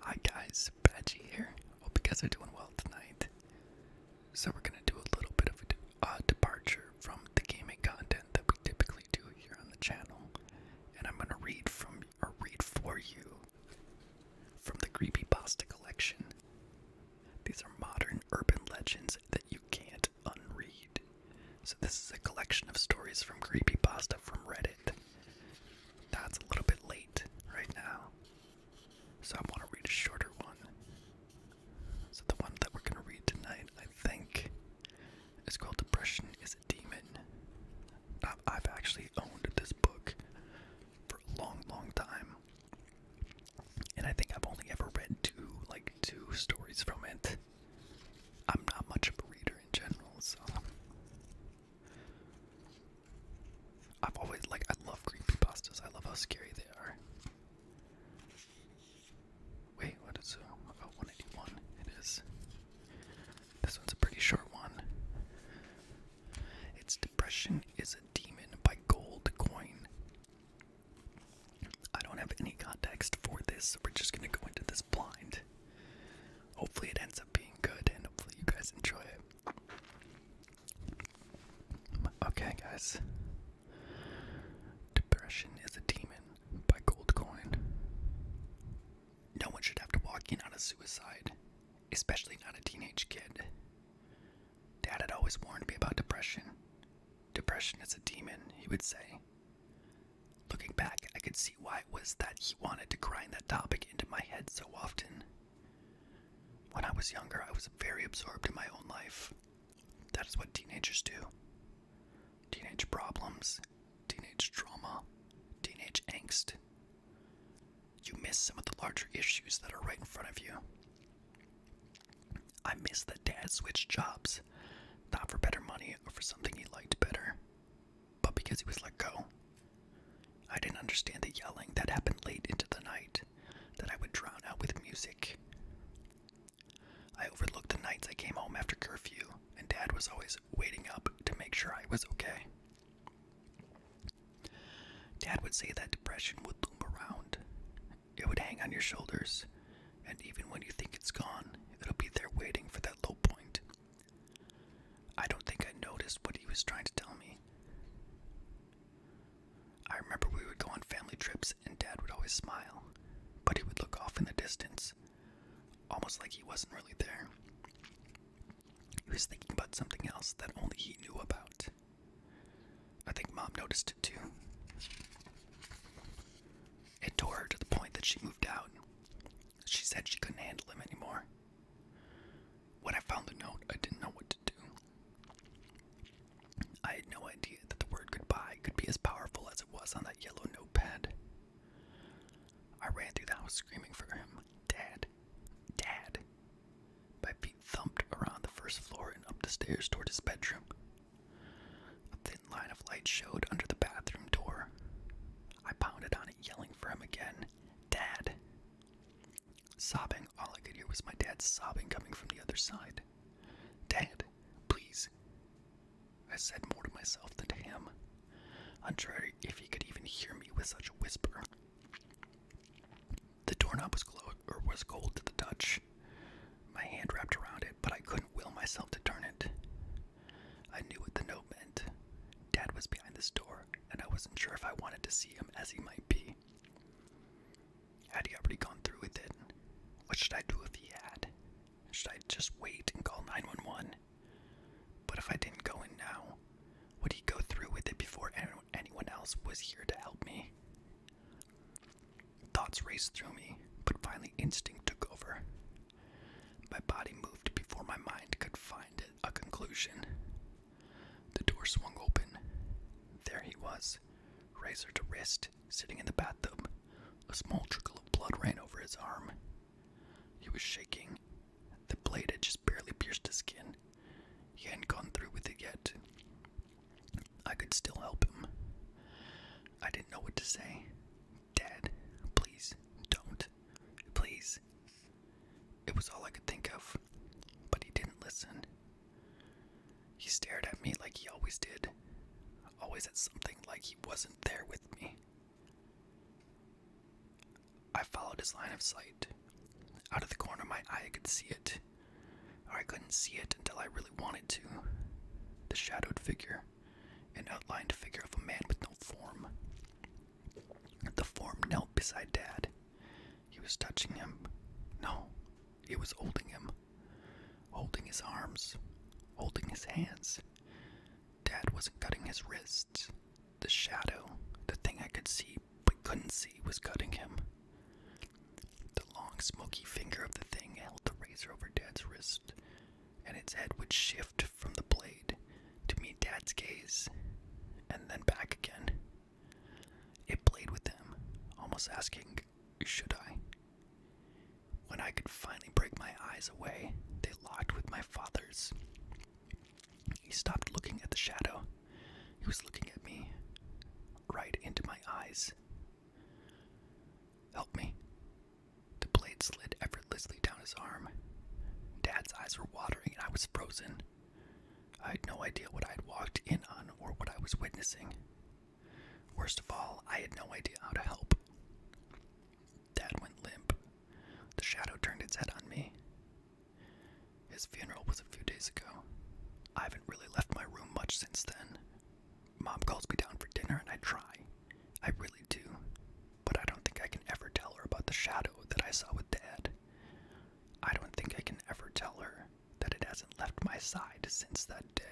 Hi guys, Badgie here. Hope you guys are doing well tonight. So we're gonna do a little bit of a departure from the gaming content that we typically do here on the channel, and I'm gonna read from a read for you from the Creepy Pasta collection. These are modern urban legends that you can't unread. So this is a collection of stories from creepy pasta from Reddit. That's a little bit late right now. So I want to read a shorter one. So the one that we're going to read tonight, I think, is called Depression is a Demon. I've actually owned this book for a long, long time. And I think I've only ever read two, like two stories from it. I'm not much of a reader in general, so I've always like I love creepypastas. I love how scary they are. Wait, what is uh, about 181? It is. This one's a pretty short one. It's Depression is a Demon by Gold Coin. I don't have any context for this, so we're just gonna go into this blind. Hopefully, it ends up being good, and hopefully, you guys enjoy it. Okay, guys. Depression is a Demon by Gold Coin. No one should have to walk in on a suicide, especially not a teenage kid. Dad had always warned me about depression. Depression is a demon, he would say. Looking back, I could see why it was that he wanted to grind that topic into my head so often. When I was younger, I was very absorbed in my own life. That is what teenagers do teenage problems, teenage trauma, teenage angst. You miss some of the larger issues that are right in front of you. I missed that dad switched jobs, not for better money or for something he liked better, but because he was let go. I didn't understand the yelling that happened late into the night that I would drown out with music. I overlooked the nights I came home after curfew, and Dad was always waiting up to make sure I was okay. Dad would say that depression would loom around, it would hang on your shoulders, and even when you think it's gone, it'll be there waiting for that low point. I don't think I noticed what he was trying to tell me. I remember we would go on family trips and Dad would always smile, but he would look off in the distance, almost like he wasn't really there. He was thinking about something else that only he knew about. I think Mom noticed it too. It tore her to the point that she moved out. She said she couldn't handle him anymore. When I found the note, I didn't know what to do. I had no idea that the word goodbye could be as powerful as it was on that yellow notepad. I ran through the house screaming for him, Dad, Dad. My feet thumped around the first floor and up the stairs toward his bedroom. A thin line of light showed under the bathroom door. I pounded on it, yelling for him again Dad! Sobbing, all I could hear was my dad's sobbing coming from the other side. Dad, please. I said more to myself than to him, unsure if he could even hear me with such a whisper. The doorknob was, or was cold to the touch, my hand wrapped around it, but I couldn't will myself to turn it. I knew what the note meant. Dad was behind this door, and I wasn't sure if I wanted to see him as he might be. Had he already gone through with it? What should I do if he had? Should I just wait and call 911? But if I didn't go in now, would he go through with it before anyone else was here to help me? Thoughts raced through me, but finally instinct took over. My body moved before my mind could find a conclusion. The door swung open. There he was, razor to wrist, sitting in the bathtub. A small trickle of blood ran over his arm. He was shaking. The blade had just barely pierced his skin. He hadn't gone through with it yet. I could still help him. I didn't know what to say. Dad, please don't. Please. It was all I could think of, but he didn't listen. He stared at me like he always did, always at something like he wasn't there with me. I followed his line of sight. Out of the corner of my eye, I could see it I couldn't see it until I really wanted to. The shadowed figure, an outlined figure of a man with no form. The form knelt beside Dad. He was touching him. No, he was holding him. Holding his arms. Holding his hands. Dad wasn't cutting his wrists. The shadow, the thing I could see but couldn't see, was cutting him. The long, smoky finger of the thing held the razor over Dad's wrist, and its head would shift from the blade to meet Dad's gaze, and then back again. It played with him, almost asking, Should I? When I could finally break my eyes away, they locked with my father's. He stopped looking at the shadow. He was looking at me, right into my eyes. Help me. The blade slid effortlessly down his arm. Dad's eyes were watering and I was frozen. I had no idea what I would walked in on or what I was witnessing. Worst of all, I had no idea how to help. Dad went limp. The shadow turned its head on me. His funeral was a few days ago. I haven't really left my room much since then. Mom calls me down for dinner and I try. I really do. But I don't think I can ever tell her about the shadow that I saw with Dad. I don't think I can ever tell her that it hasn't left my side since that day.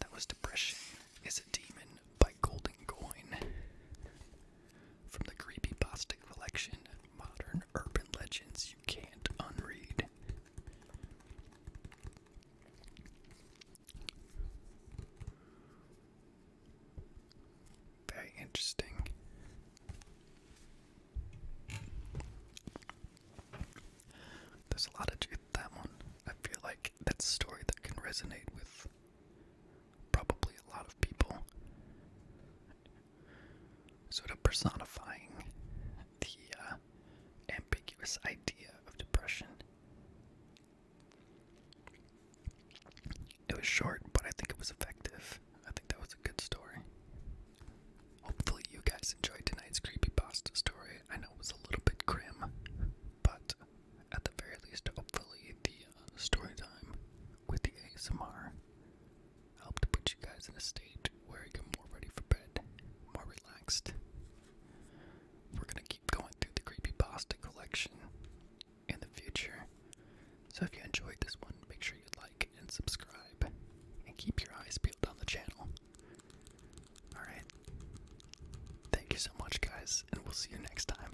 that was Depression is a Demon by Golden Coin from the Creepypasta Collection modern urban legends you can't unread. Very interesting. There's a lot of truth that one. I feel like that's a story that can resonate with probably a lot of people sort of personifying the uh, ambiguous idea of depression. It was short, but I think it was effective. I think that was a good story. Hopefully, you guys enjoyed tonight's creepy pasta story. I know it was a little bit grim, but at the very least, hopefully, the uh, story time with the ASMR help to put you guys in a state where you get more ready for bed, more relaxed. We're gonna keep going through the creepy pasta collection in the future. So if you enjoyed this one, make sure you like and subscribe, and keep your eyes peeled on the channel. Alright. Thank you so much, guys, and we'll see you next time.